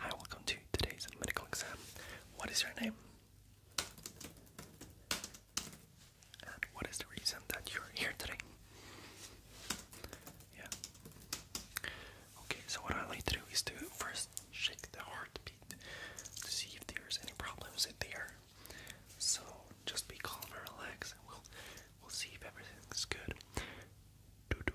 Hi, welcome to today's medical exam. What is your name? And what is the reason that you're here today? Yeah. Okay, so what I like to do is to first shake the heartbeat to see if there's any problems in there. So just be calm and relax we'll we'll see if everything's good. Do do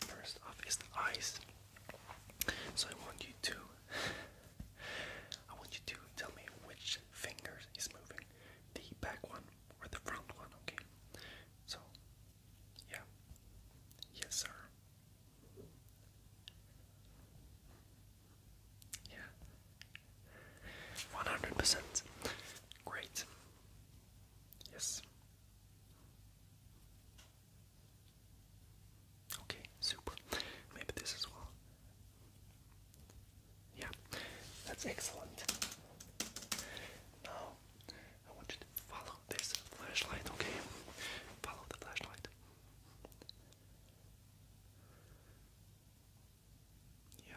First off is the eyes. So I want you to I want you to tell me which finger is moving. The back one or the front one, okay? So yeah. Yes sir. Yeah. 100%. Great. Yes. Okay, super. Maybe this as well. Yeah, that's excellent. Now, I want you to follow this flashlight, okay? Follow the flashlight. Yeah,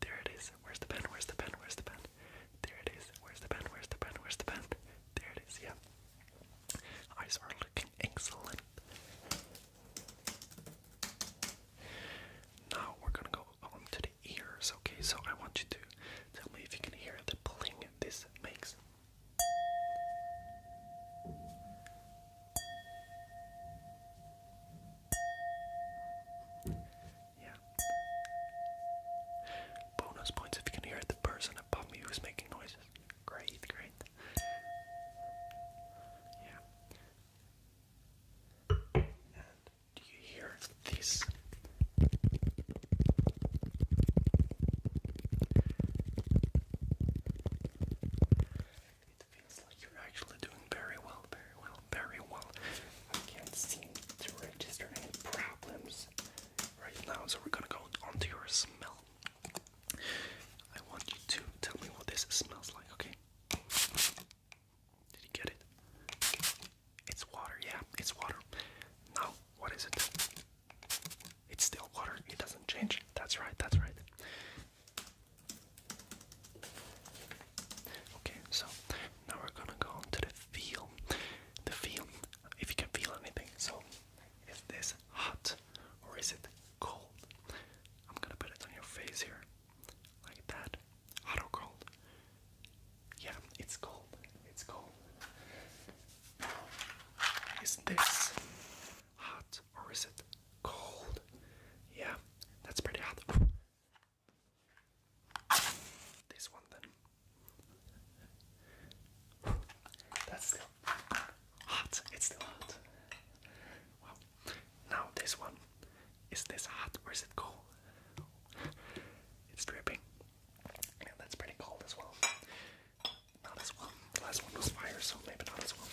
There it is. Where's the pen? Where's the pen? Where's the pen? There it is. Where's the pen? Where's the pen? Where's the pen? There it is. Yeah. Eyes are looking excellent. Now we're gonna go on to the ears. Okay, so I want you to tell me if you can hear the bling this makes. Yeah. Bonus points if you can hear the person above me who's making noises. Great, great. Yeah. do you hear this? It feels like you're actually doing very well, very well, very well. I can't seem to register any problems right now, so we're gonna go on to your smell. I want you to tell me what this smells like, okay? Did you get it? It's water, yeah, it's water. Now, what is it? It's still water, it doesn't change. That's right, that's right. Okay, so now we're gonna go on the feel. The feel, if you can feel anything. So, is this hot or is it cold? I'm gonna put it on your face here, like that. Hot or cold? Yeah, it's cold. It's cold. Is this hot or is it cold? Yeah, that's pretty hot. This one then. That's still hot. It's still hot. Wow. Now this one. Is this hot or is it cold? It's dripping. Yeah, that's pretty cold as well. Not as well. The last one was fire, so maybe not as well.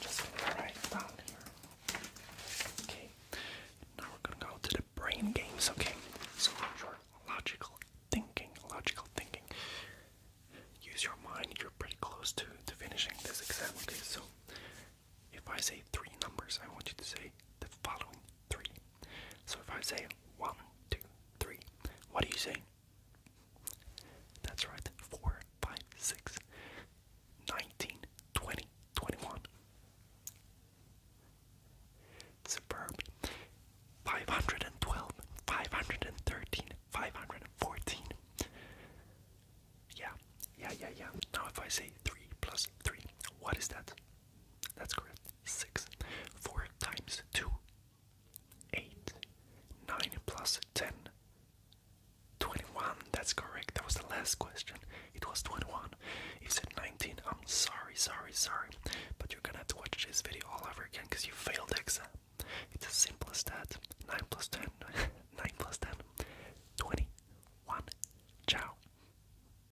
just write down here. Okay. Now we're gonna go to the brain games, okay? So your logical thinking, logical thinking. Use your mind, you're pretty close to, to finishing this exam, okay? So if I say three numbers, I want you to say the following three. So if I say one, two, three, what do you say? That's right, four, five, six, nineteen, twenty, twenty-one. Superb. Five hundred and twelve, five hundred and thirteen, five hundred and fourteen. Yeah, yeah, yeah, yeah. Now if I say three plus three, what is that? That's correct. 6. 4 times 2. 8. 9 plus 10. 21. That's correct. That was the last question. It was 21. You said 19. I'm sorry, sorry, sorry. But you're gonna have to watch this video all over again because you failed the exam. It's as simple as that. 9 plus 10. 9 plus 10. 21. Ciao.